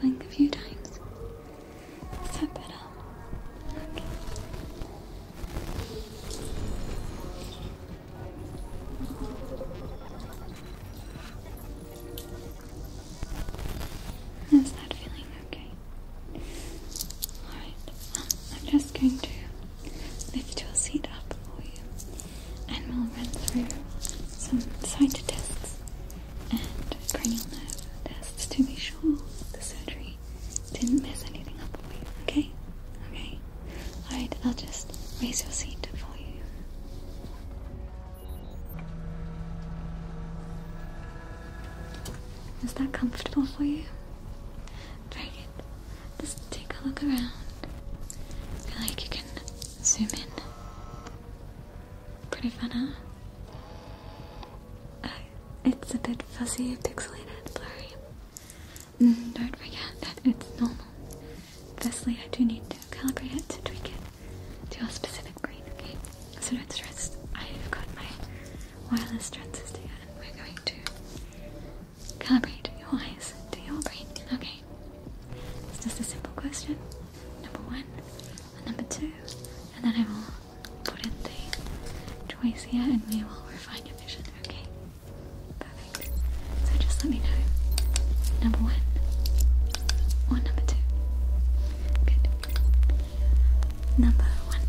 Blink a few times. Is that better? Is that feeling okay? Alright, I'm just going to lift your seat up for you and we'll run through some side tests and cranial nerve tests to be sure the surgery didn't mess anything up okay? Okay? Alright, I'll just raise your seat up for you. Is that comfortable for you? Try it. Just take a look around. feel like you can zoom in. Pretty fun, huh? Uh, it's a bit fuzzy, pixelated, blurry. Mm, don't forget that it's normal. Firstly, I do need to calibrate it to tweak it to your specific brain, okay? So don't stress. I've got my wireless transistor we're going to calibrate your eyes to your brain. Okay. It's just a simple question. Number one and number two. And then I will put in the choice here and we will refine your vision. Okay. Perfect. So just let me know. Number one or number two. Good number one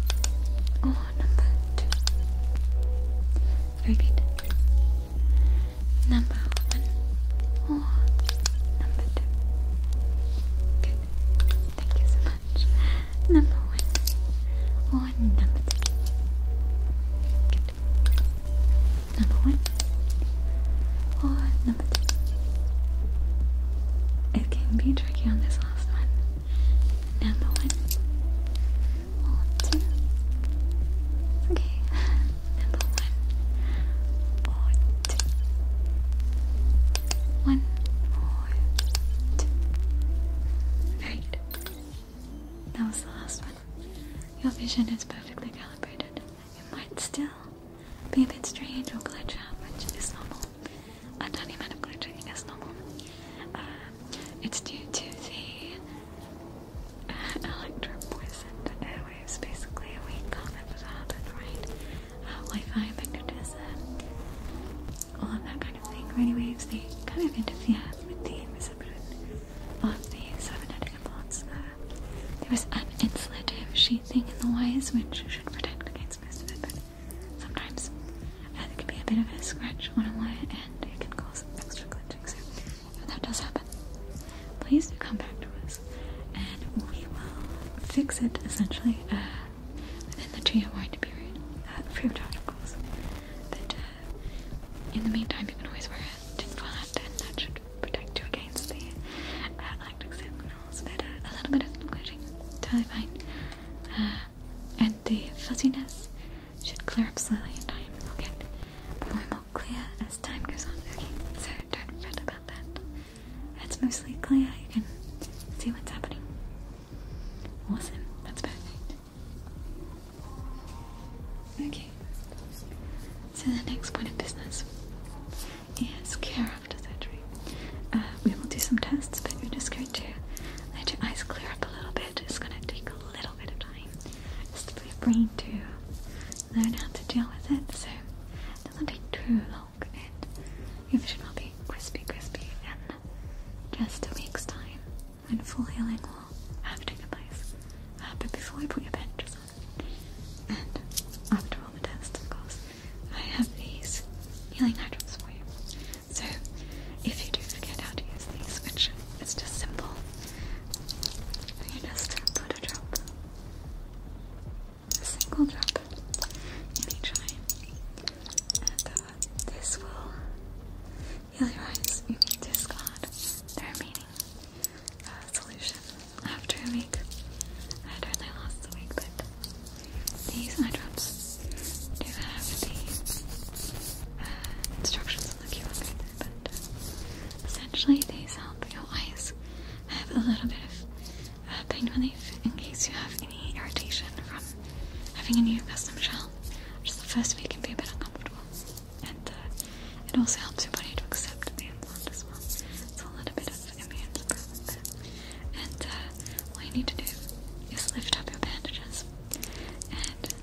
or oh, number two. Very good. Number one or oh, number two. Good. Thank you so much. Number one or oh, number two. Good. Number one or number two. It can be tricky on this last one. Number one. two. Okay. Number one. One, That was the last one. Your vision is perfectly calibrated. It might still be a bit strange or glitch out, which It's normal a tiny amount of glittering as normal. Um, it's due to the uh, electro-poisoned airwaves. Basically, we can't let that happen, Wi-Fi, magnetism, all that kind of thing. Radio waves, they kind of interfere with the reception of the cybernetic implants. Uh, there was an insulative sheathing in the wires, which should protect against most of it, but sometimes it uh, can be a bit of a scratch on a wire and it can cause extra glitching so if that does happen please do come back to us and we will fix it essentially uh, within the two year warranty period uh, free of charge of course uh, in the meantime you can always wear a tin hat and that should protect you against the uh, uh a little bit of glitching totally fine and the fuzziness should clear up slowly in time. we more and more clear as time goes on. Okay, so don't fret about that. It's mostly clear, you can see what's happening. Listen, that's perfect. Okay, so the next point of business Yes, care after surgery. Uh, we will do some tests, but we're just going to let your eyes clear up a little bit. It's going to take a little bit of time just for your brain to learn how to deal with it, so it doesn't take too long, and your vision will be crispy, crispy in just a week's time when full healing will have taken place. Uh, but before we put your bandages on, and after all the tests, of course, I have these healing items for you. So, if you do forget how to use these, which is just simple, you just put a drop, a single drop, in each eye, and uh, this will heal your eyes. You need discard the remaining uh, solution after a week. I don't know last week, but these eye drops do have the uh, instructions on the QR code there, but uh, essentially they help your eyes have a little bit of uh, pain relief in case you have any irritation from having a new custom shell, which the first week can be a bit uncomfortable. And uh, it also helps your body to accept the implant as well. It's a little bit of and be uh, you need to do is lift up your bandages and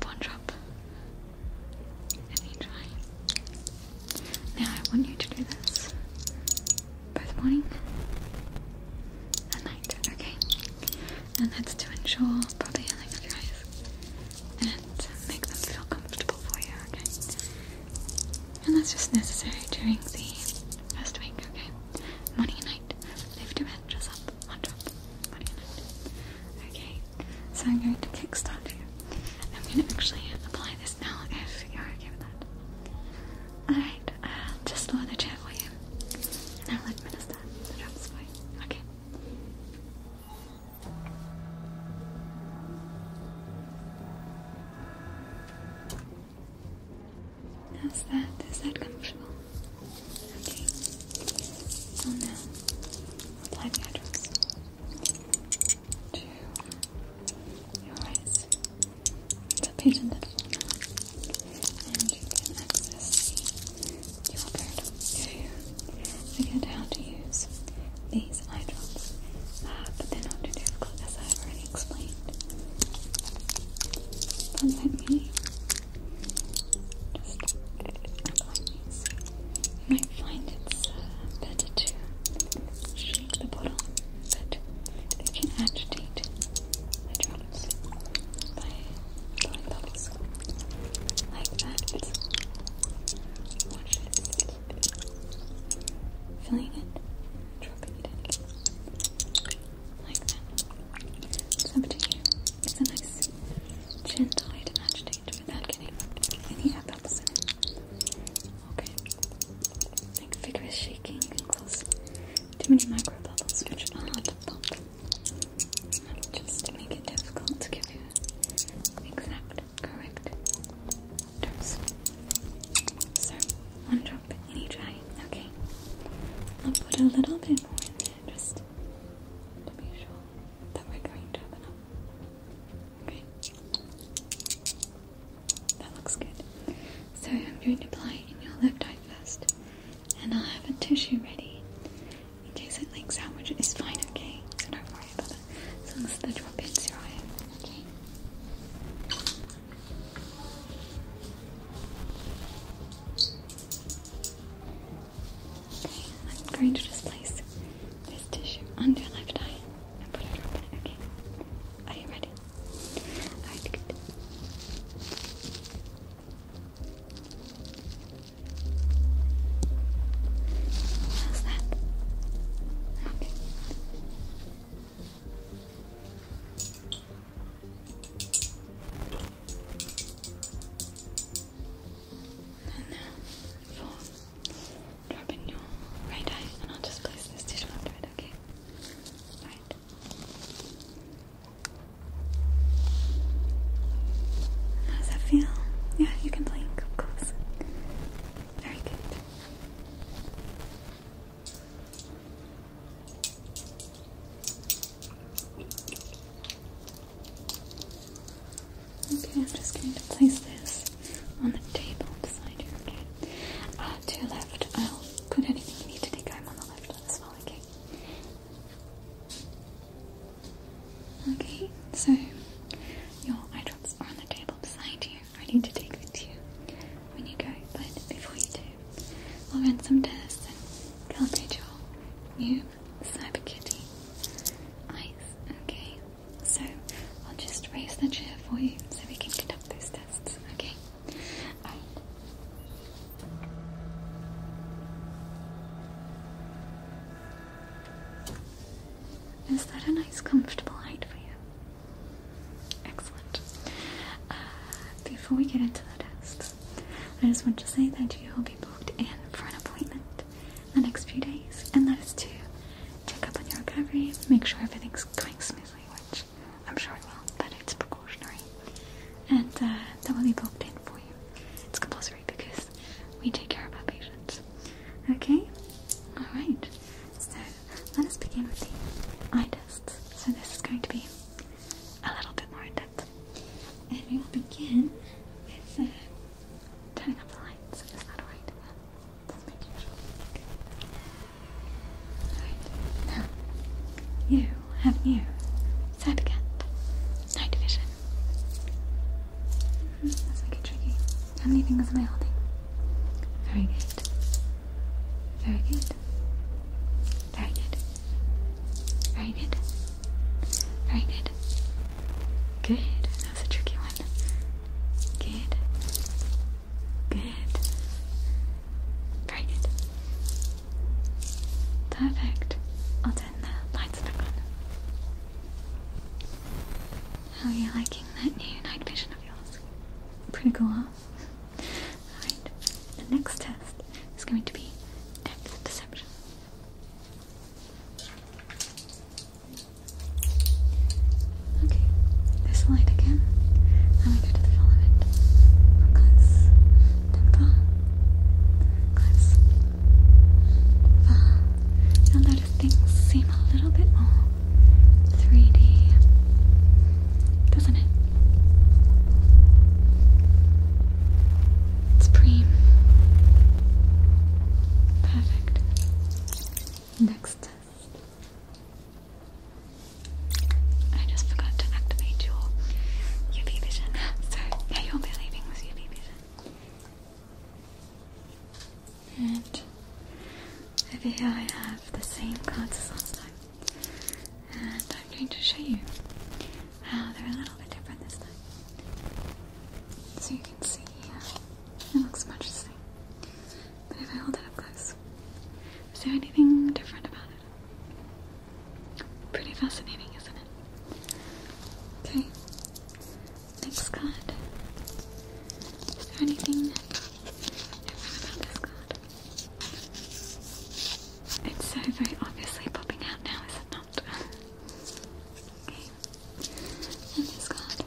pop one in each eye. Now I want you to do this both morning and night, okay? And that's to ensure proper healing of your eyes and make them feel comfortable for you, okay? And that's just necessary during the first week, okay? Morning and night. Lift your bed, dress up, wash up. Morning and night. Okay, so I'm going to kickstart you. I'm going to actually apply this now if you're okay with that. Alright, uh, just lower the chair for you. And I'll administer the drops for you. Okay. Okay, How's that? Is that comfortable? Okay. So oh, now, apply the eye drops your eyes. The patient that and you can access your bird if you forget how to use these eye drops, uh, but they're not too difficult as I've already explained. But let me just apply these. You might find it's uh, better to shake the bottle, but you can agitate the drops by blowing bubbles like that. Filling it, dropping it in like that. So up to you. It's a nice gentle way to agitate without getting any apples in it. Okay. Like vigorous shaking can close too many micro bubbles which are hard to pop. Just to make it difficult to give you the exact correct terms. So, one drop in each eye. Okay. I'll put a little bit more just to be sure that we're going to have enough. Okay. That looks good. So, I'm going to apply it in your left eye first, and I'll have a tissue ready in case it leaks out, which is fine, okay? So, don't worry about as I'm going to just place this tissue under your left eye and put a drop Okay. Are you ready? good. And now for dropping your right eye, and I'll just place this tissue under it, okay? Right. How does that feel? Yeah, you can blink, of course. Very good. Okay, I'm just going to place this on the table beside you, okay? Uh, to your left, I'll put anything you need to take home on the left as well, okay? Okay, so your eye drops are on the table beside you. I need to take with you when you go, but before you do, I'll run some tests and calibrate your new CyberKitty eyes, okay? So, I'll just raise the chair for you so we can conduct those tests, okay? Is that a nice, comfortable height for you? Excellent. Uh, before we get into the test, I just want to say that you will be booked in for an appointment the next few days, and that is to check up on your recovery, make sure everything's going smoothly, which I'm sure it will, but it's precautionary. And uh, that will be booked in for you. It's compulsory because we take care of our patients. Okay? Alright. So let us begin with the eye tests. So this is going to be a little bit more in-depth. And we will begin with uh, turning up the lights. So Just making sure. Alright. Now, you have new side again. Night vision. That's okay, tricky. How many fingers am I holding? Very good. Very good. Very good. Very good. Very good. Good. That's a tricky one. Good. Good. Very good. Perfect. I'll turn the lights back on. How are you liking that new night vision of yours? Pretty cool, huh? Alright, the next test is going to be depth perception. Okay, this light again, and we go to the filament. Close, then close, uh, now that things seem a little bit more 3D, doesn't it? It's Perfect. Next I just forgot to activate your UV vision, so yeah, you'll be leaving with UV vision. And over here I have the same cards as last time. And I'm going to show you how they're a little bit different this time. So you can see here, uh, it looks much the same. But if I hold it up close, is there anything different about it? Pretty fascinating, isn't it? Okay, Thanks, God. anything different about this card? It's so very obviously popping out now, is it not? okay. this card.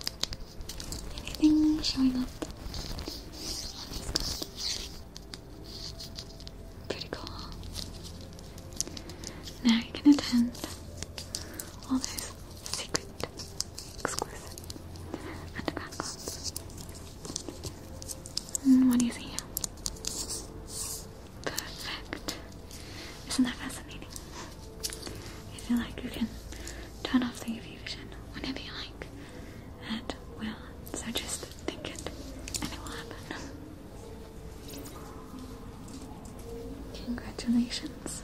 Anything showing up Pretty cool. Now you can attend all those secret, exclusive, and hmm, what do you see Perfect. Isn't that fascinating? You feel like you can turn off the UV vision whenever you like, and will. So just think it, and it will happen. Congratulations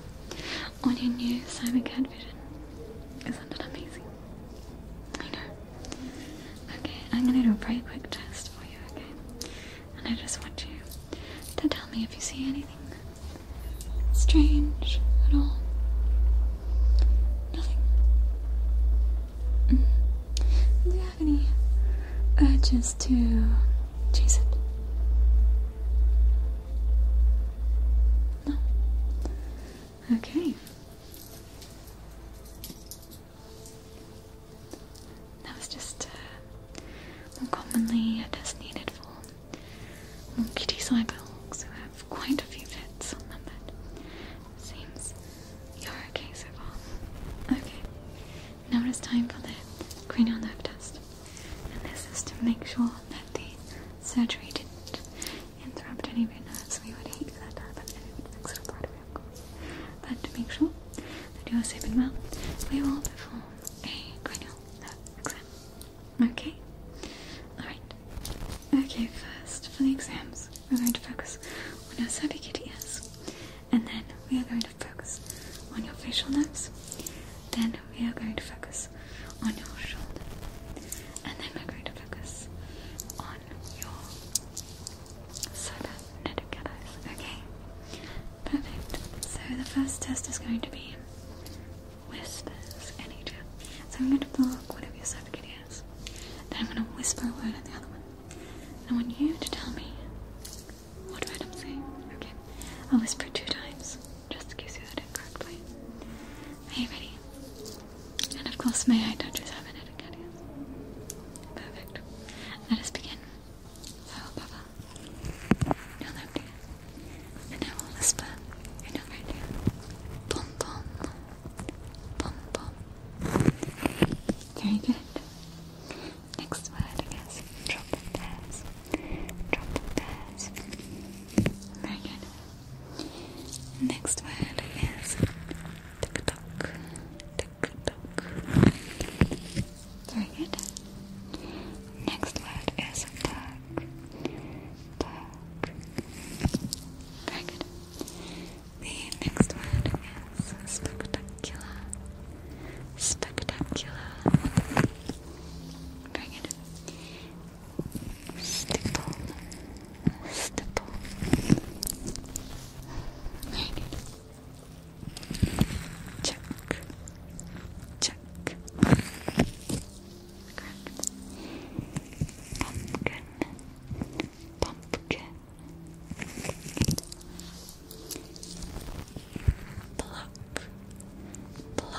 on your new Simon CyberCAD vision. Isn't it amazing? I know. Okay, I'm gonna do a very quick test for you, okay? And I just want you to tell me if you see anything strange at all. Nothing. Mm. Do you have any urges to chase it. No. Okay. That was just uh, more commonly just test needed for monkey kitty cyborgs who have quite a few fits on them, but seems you're okay so far. Okay. Now it is time for the cranial nerve test. And this is to make sure that the surgery didn't interrupt any of your nerves. We would hate for that to happen and it would fix But to make sure that you are sleeping well, we will perform a cranial nerve exam. Okay? Alright. Okay, first for the exams, we're going to focus on our subcutaneous and then we are going to focus on your facial nerves. Then we are going to focus on your shoulder, and then we're going to focus on your cybernetic allies. Okay, perfect. So the first test is going to be whisper in each So I'm going to block one of your cervical ears. Then I'm going to whisper a word in the other one. I want you to tell me what did I Okay. I'll whisper two times, just in case you heard it correctly. Are you ready? And of course, may I touch your seven etiquette? Perfect. Let us begin. So, Baba, no left And I will whisper in your right ear. Pom pom. Pom Very good. Next word, I Drop the pairs. Drop the pairs. Very good. Next word is tick tock. Tick tock. Very good. Next word is tug. Tug. Very good. The next word is Spectacular. Spectacular. Very good. Stipple. Stipple. Very Check. Check. Pumpkin. Pumpkin. Plop. Plop.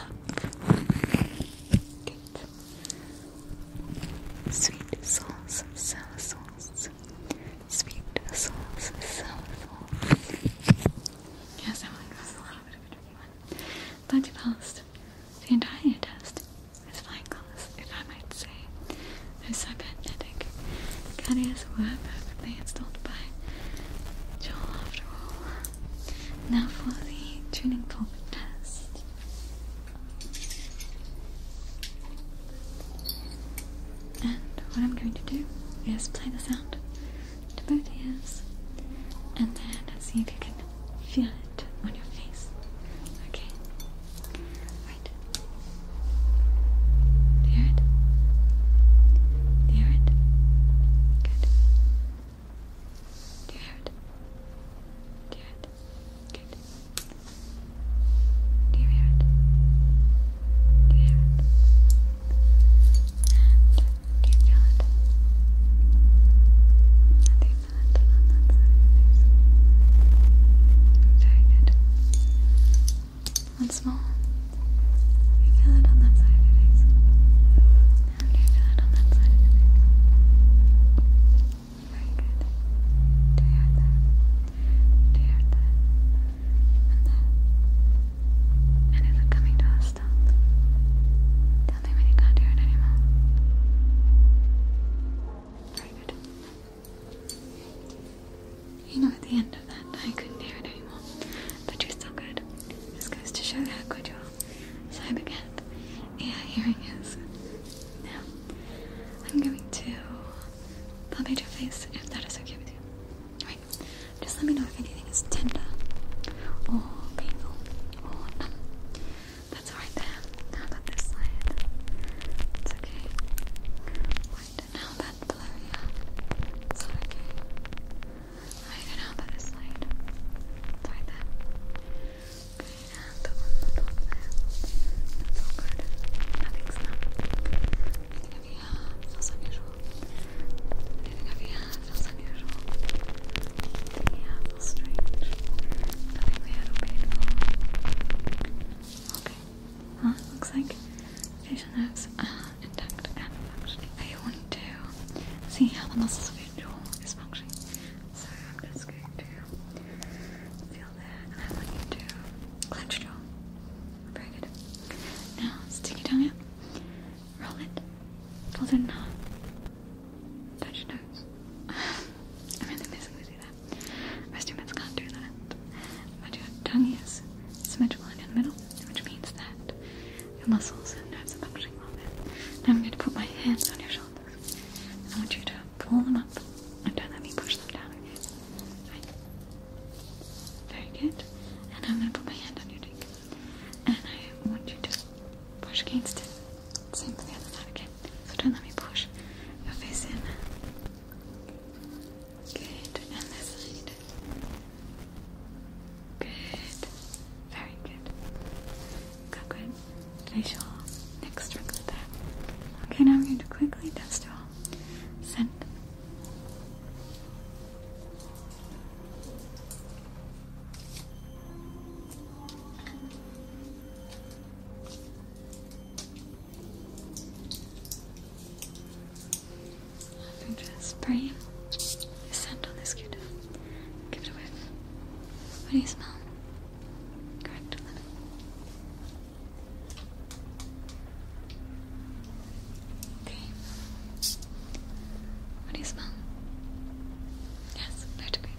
Sweet sauce, sour sauce. Sweet sauce, sour Yes, that one a little bit of a tricky one. But you passed the entire test with flying I might say. I are cybernetic. Cadius were perfectly installed by Joel after all. Now for the tuning fork test. And what I'm going to do is play the sound to both ears and then see if you can feel it on your face. Okay? Right. you hear it? hear it? Good. Do you hear it? hear it? Good. Do you feel it? do you feel it on that side Very good. One small. You feel it on that side of do you feel it on that side Very good. Do you hear Do you hear And that? And is it coming to a stop? Tell me when you can't hear it anymore. Very good. You know, at the end of that, I couldn't hear it anymore, but you're still good. This goes to show how good you are. So I began. Yeah, hearing is. Now, I'm going to palpate your face if that is okay with you. Alright, just let me know if anything is tender or painful or numb. That's alright there. How about side? It's okay mind how that blur, yeah. It's okay. I can help that is light. It's right there. Okay, and the one good. Nothing's up. Anything over here unusual. Anything strange. Nothing painful. Okay, Looks like facial nerves uh, intact and functioning. I want to see how the muscles of your jaw is functioning. So I'm just going to feel there and I want you to clench your jaw. Very good. Now stick tongue Roll it. Fold it in Touch your nose. I'm really missing this to do can't do that. But tongue is symmetrical in the middle, which means that your muscles and nerves are functioning well I'm going to put my hands on your shoulders. I want you to pull them up and don't let me push them down again. Very good. And I'm going to put my hand on your cheek. And I want you to push against it. Same for the other side again. So don't let me push your face in. Good. Good. Very good. Good. Facial. Next Okay, now we're going to quickly test all. scent just spray the scent on this q Give it a What do you smell? Correct. Okay. What do you smell? Yes, no debate.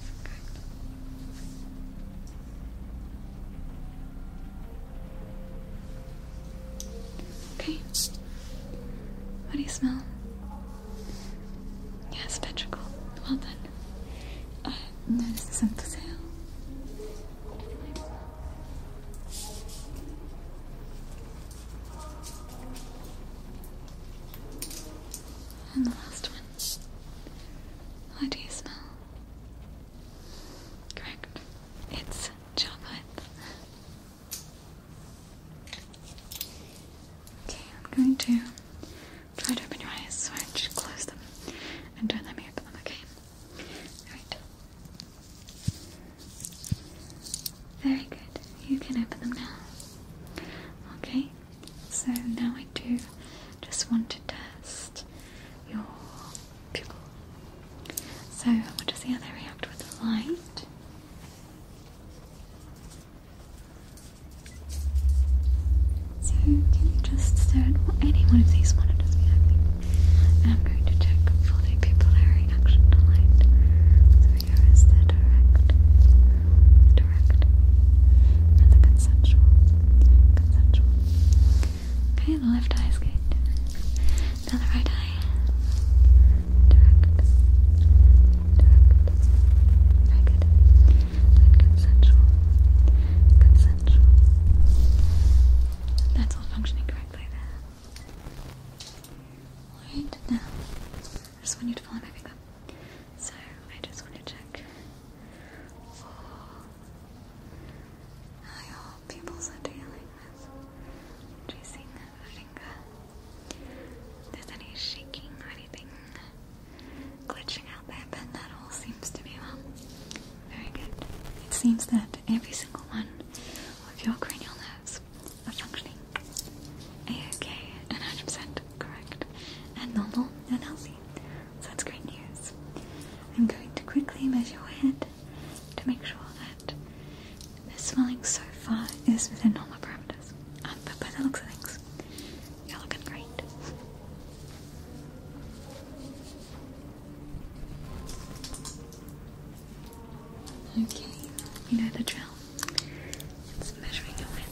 Okay. What do you smell? Yes, petrichor. Well done. Uh, no, this is sale. And the last one. What do you smell? Correct. It's chocolate. Okay, I'm going to try to open your eyes, so I just close them and don't let me open them, okay? Alright. Very good. You can open them now. Okay, so now I do just want to test so I want to see how they react with the light. So can you just stare any one of these monitors behind me? I'm going to check for the pupillary action to light. So here is the direct, direct, and the conceptual, conceptual. Okay, the left eye is good. Now the right eye. Direct. Direct. Very good. And consensual. Consensual. That's all functioning correctly there. Alright, now I just want you to follow my finger. So I just want to check I hope are dealing with tracing the finger. If there's any shaking or anything glitching out there, but that all seems to be well. Very good. It seems that every single one of your cranial nerves are functioning a-okay 100% correct and normal and healthy. So that's great news. I'm going to quickly measure your head to make sure that the swelling so far is within normal parameters. Um, but by the looks of things, you're looking great. Okay, you know the drill. It's measuring your head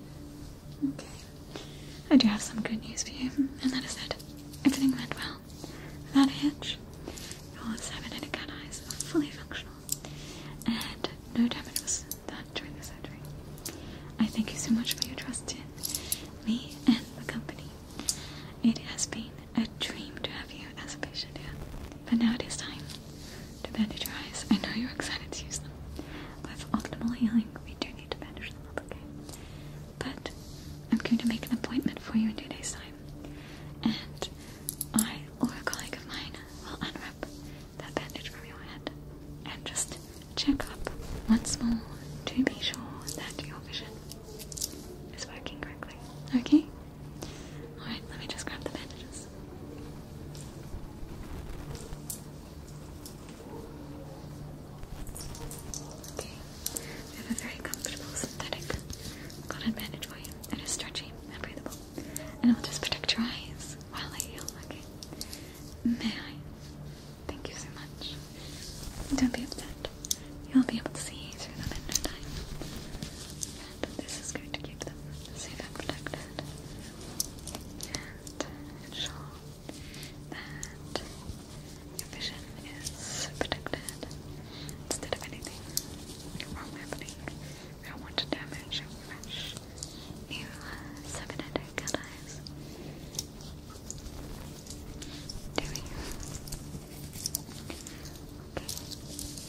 Okay. I do have some good news for you, and that is that everything went well. Without a hitch, All seven inner cat eyes are fully functional, and no damage was done during the surgery. I thank you so much for your trust in me and the company. It has been a dream to have you as a patient here, but now it is time to bandage your eyes. I know you're excited to use them. With optimal healing, we do need to bandage them up, okay? But I'm going to make an appointment for you in two days' time. And I or a colleague of mine will unwrap that bandage from your head and just check up once more to be sure that your vision is working correctly. Okay? Alright, let me just grab the bandages. Okay, have a very comfortable synthetic cotton bandage for you. It is stretchy and breathable, and it will just protect your eyes while I heal. Okay, may I? Thank you so much. Don't be upset. You'll be able to see through them in and this is going to keep them safe and protected. And ensure that your vision is protected instead of anything wrong happening. I don't want to damage your fresh, new, cybernetic allies. Do we?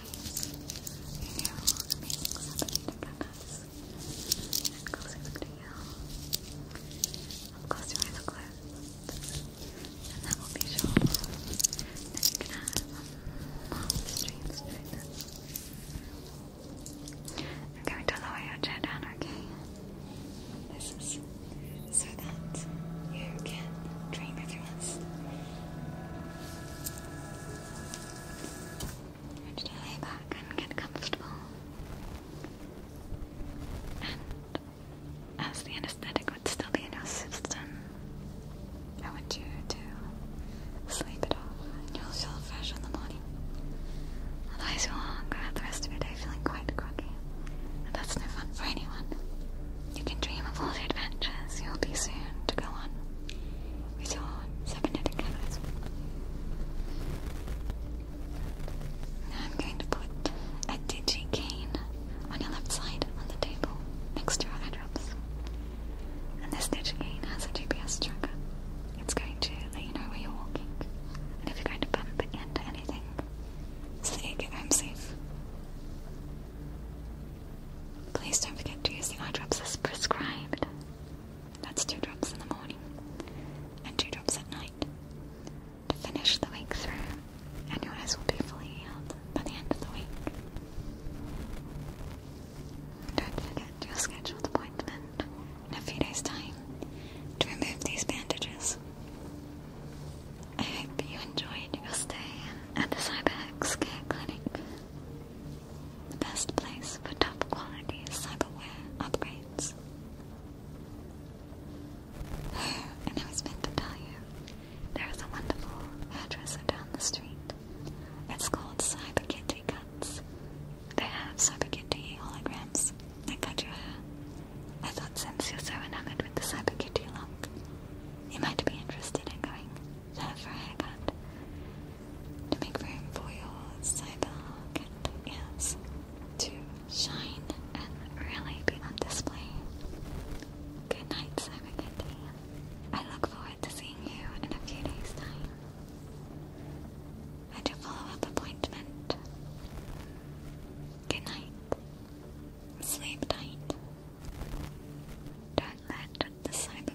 Your will remain exhibited in front us. closer to you. Up close your eyes And that will be short. Then you can going to lower your chair down, okay? so that you can dream if you and lay back and get comfortable. And as the anesthetic would still be in your system, I want you to sleep it off and you'll feel fresh in the morning. Otherwise, you'll go out the rest of your day feeling quite groggy, and that's no fun for anyone. You can dream of all the adventures you'll be soon to go on with your cybernetic cameras. I'm going to put a digi cane on your left side on the table next to your eye And this digi cane has a GPS tracker. It's going to let you know where you're walking and if you're going to bump into anything so that you safe. Please don't forget to use the eye drops as prescribed. That's two drops in the morning and two drops at night to finish the week through, and your eyes will be fully healed by the end of the week. Don't forget your scheduled appointment in a few days' time to remove these bandages. I hope you enjoyed your stay at the CyberX Care Clinic, the best place for top quality cyberware upgrades. and I was meant to tell you, there is a wonderful hairdresser down the street. It's called CyberKitty Cuts. They have CyberKitty holograms that cut your hair. I thought since you're so enamored with the CyberKitty look, you might be interested in going there for a haircut. To make room for your cyberhawk and ears to shine and really be on display. Good night, Cyber Kitty. I look forward to seeing you in a few days' time. At your follow-up appointment. Good night. Sleep tight. Don't land the side of